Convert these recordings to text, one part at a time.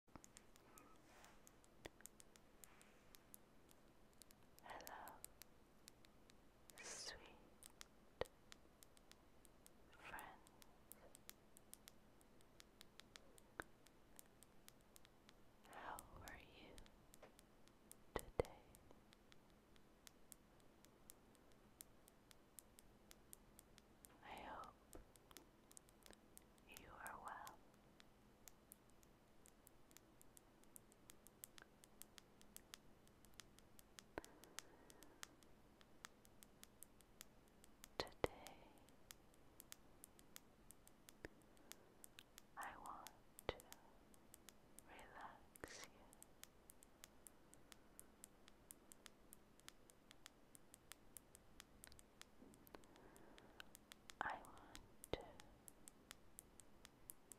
Hello, sweet friends. How are you today? I hope you are well. Today, I want to relax you. I want to give you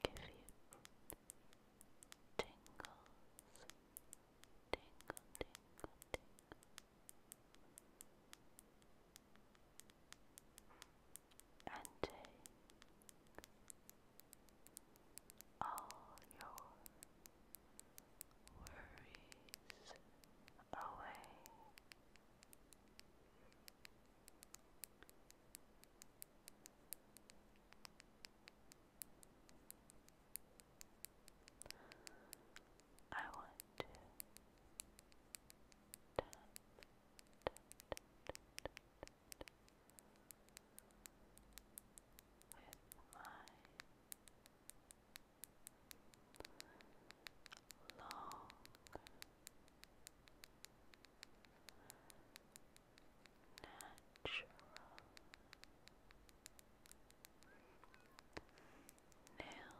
tingles, tingle, tingle, tingle. And take all your worries away. I want to tap, tap, tap, tap, tap, with my long natural nails Nails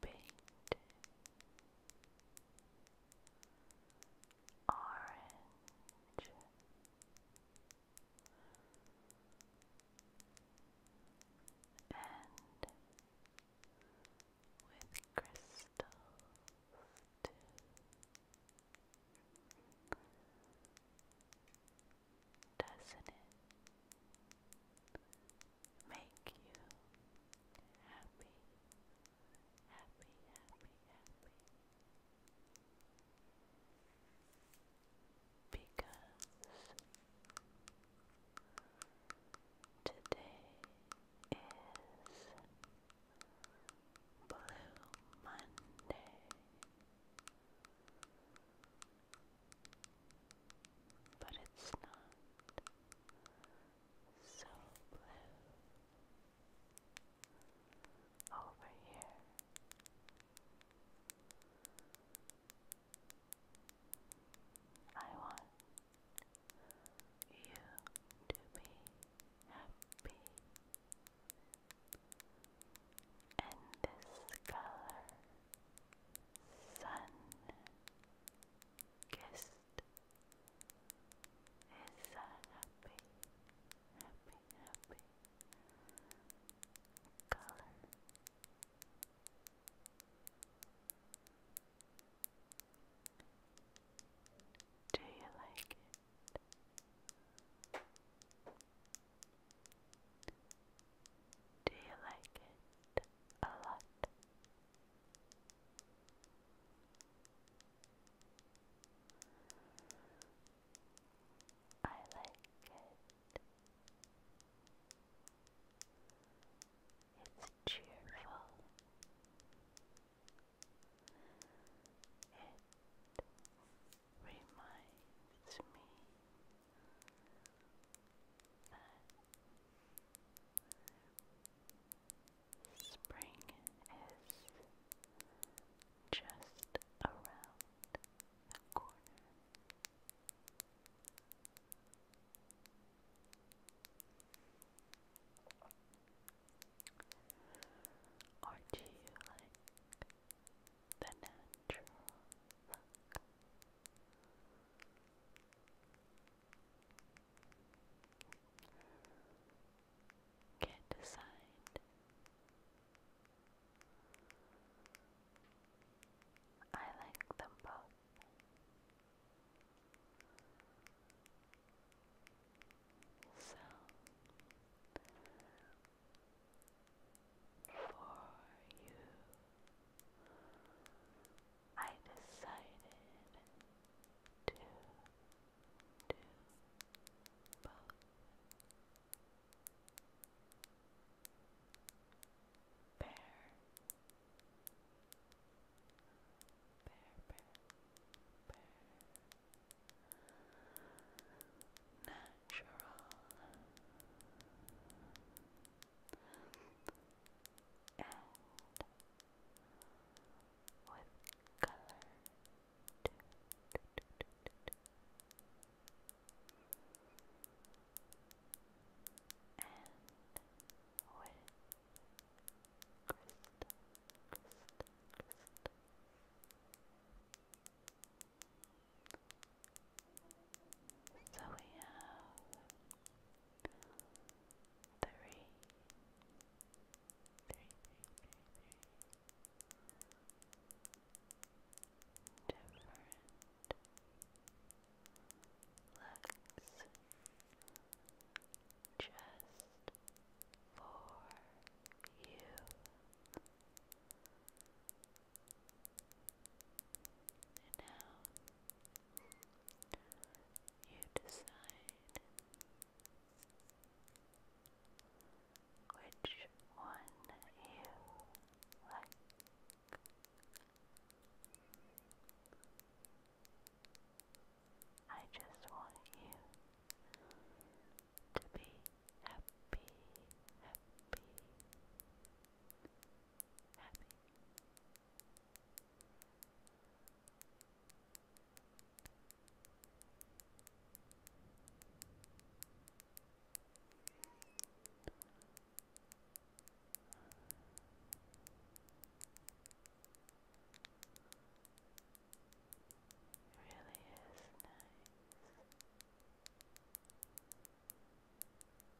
painted orange and with crystals Doesn't it make you happy, happy, happy, happy. Because today is Blue Monday but it's not so blue over here. I want you to be happy. And this color sun kissed is a happy, happy, happy color. Do you like it? Do you like it a lot? I like it. It's cheerful. It reminds me but spring is just around the corner. Or do you like the natural can't decide. I like them both. So, for you, I decided to do both. Bear, bear, bear, bear. Natural and with color too. and with crystal, crystal, crystal. So we have three, three, three, three, three. different looks just for you. And now you decide which one you like. I just want you to be happy, happy, happy. Really is nice.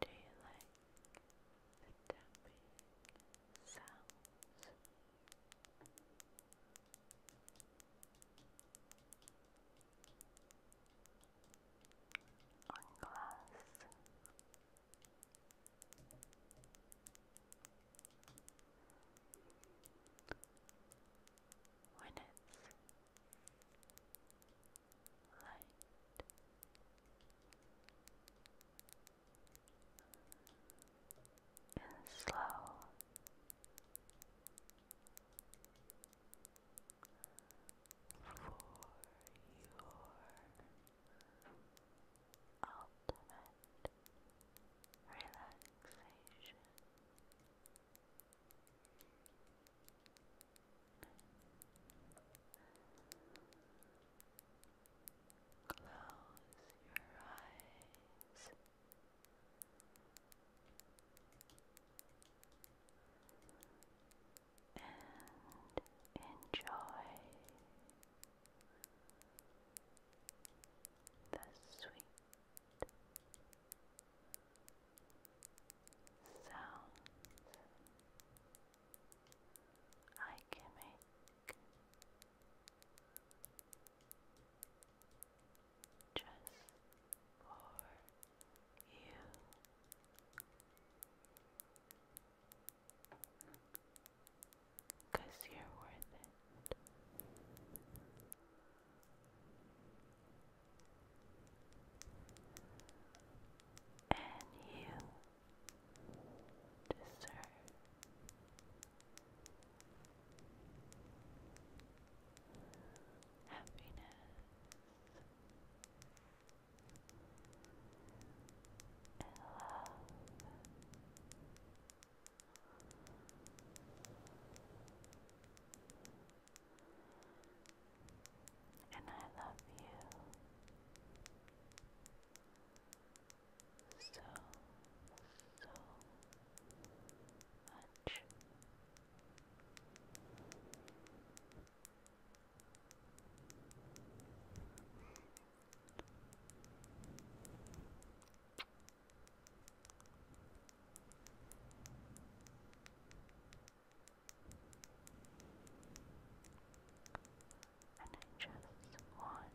Do you like the tapping sounds? On glass, when it's light, and slow. For your ultimate relaxation. Close your eyes. And enjoy the sweet sounds I can make just for you. Cause you're worth it. And you deserve happiness and love. And I love you so, so much. And I just want you to relax.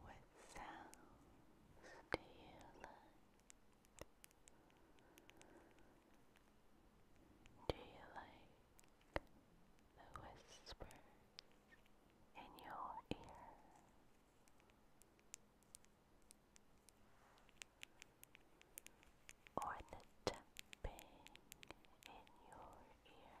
What sounds do you like? Do you like the whispers in your ear? Or the tapping in your ear?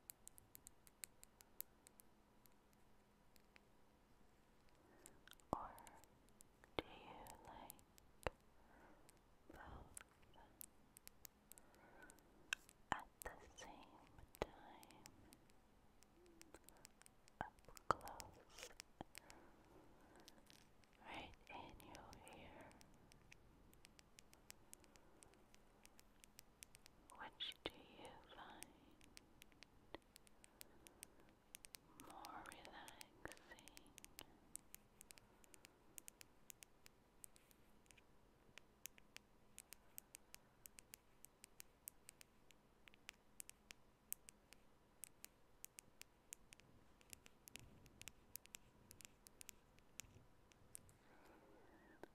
Or do you like both at the same time? Up close, right in your ear. Which do you find more relaxing?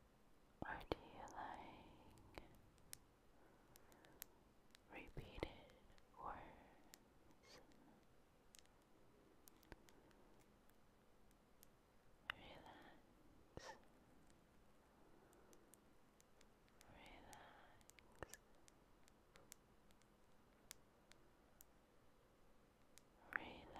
or you like repeated words? Relax. Relax. Relax. Relax.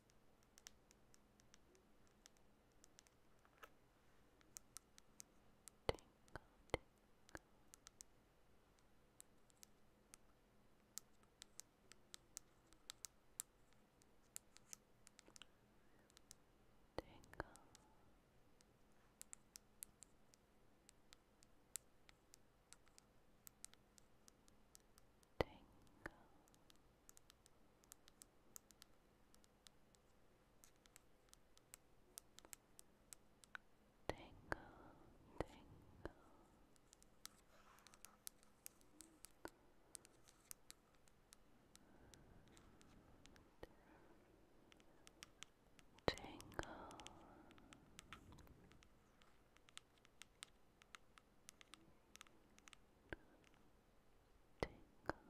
Tinkle, tinkle. Tingle. Tingle. Tingle, tingle. Tingle. Tingle, tingle.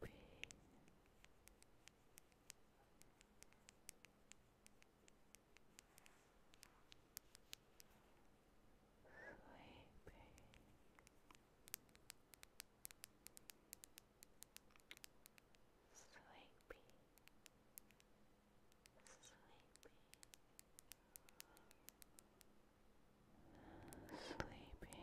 Sleepy, Sleeping. Sleepy, sleepy, sleepy, sleepy,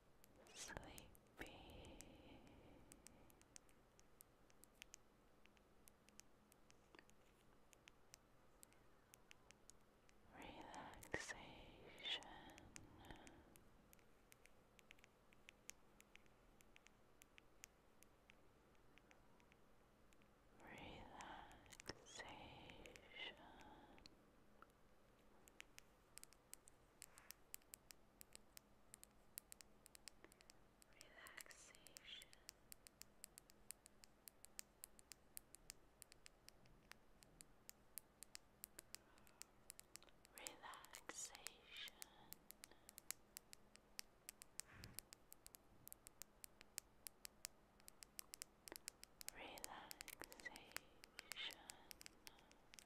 sleepy. Relaxation. Relaxation relaxation. Relaxation. Relaxation.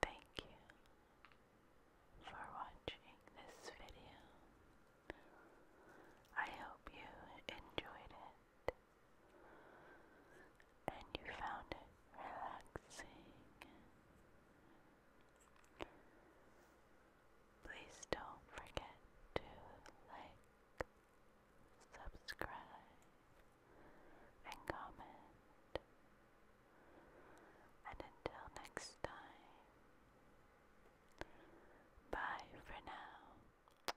Thank you for watching this video. I hope you enjoyed it and you found it relaxing. Please don't forget to like, subscribe, and comment. And until next time, bye for now.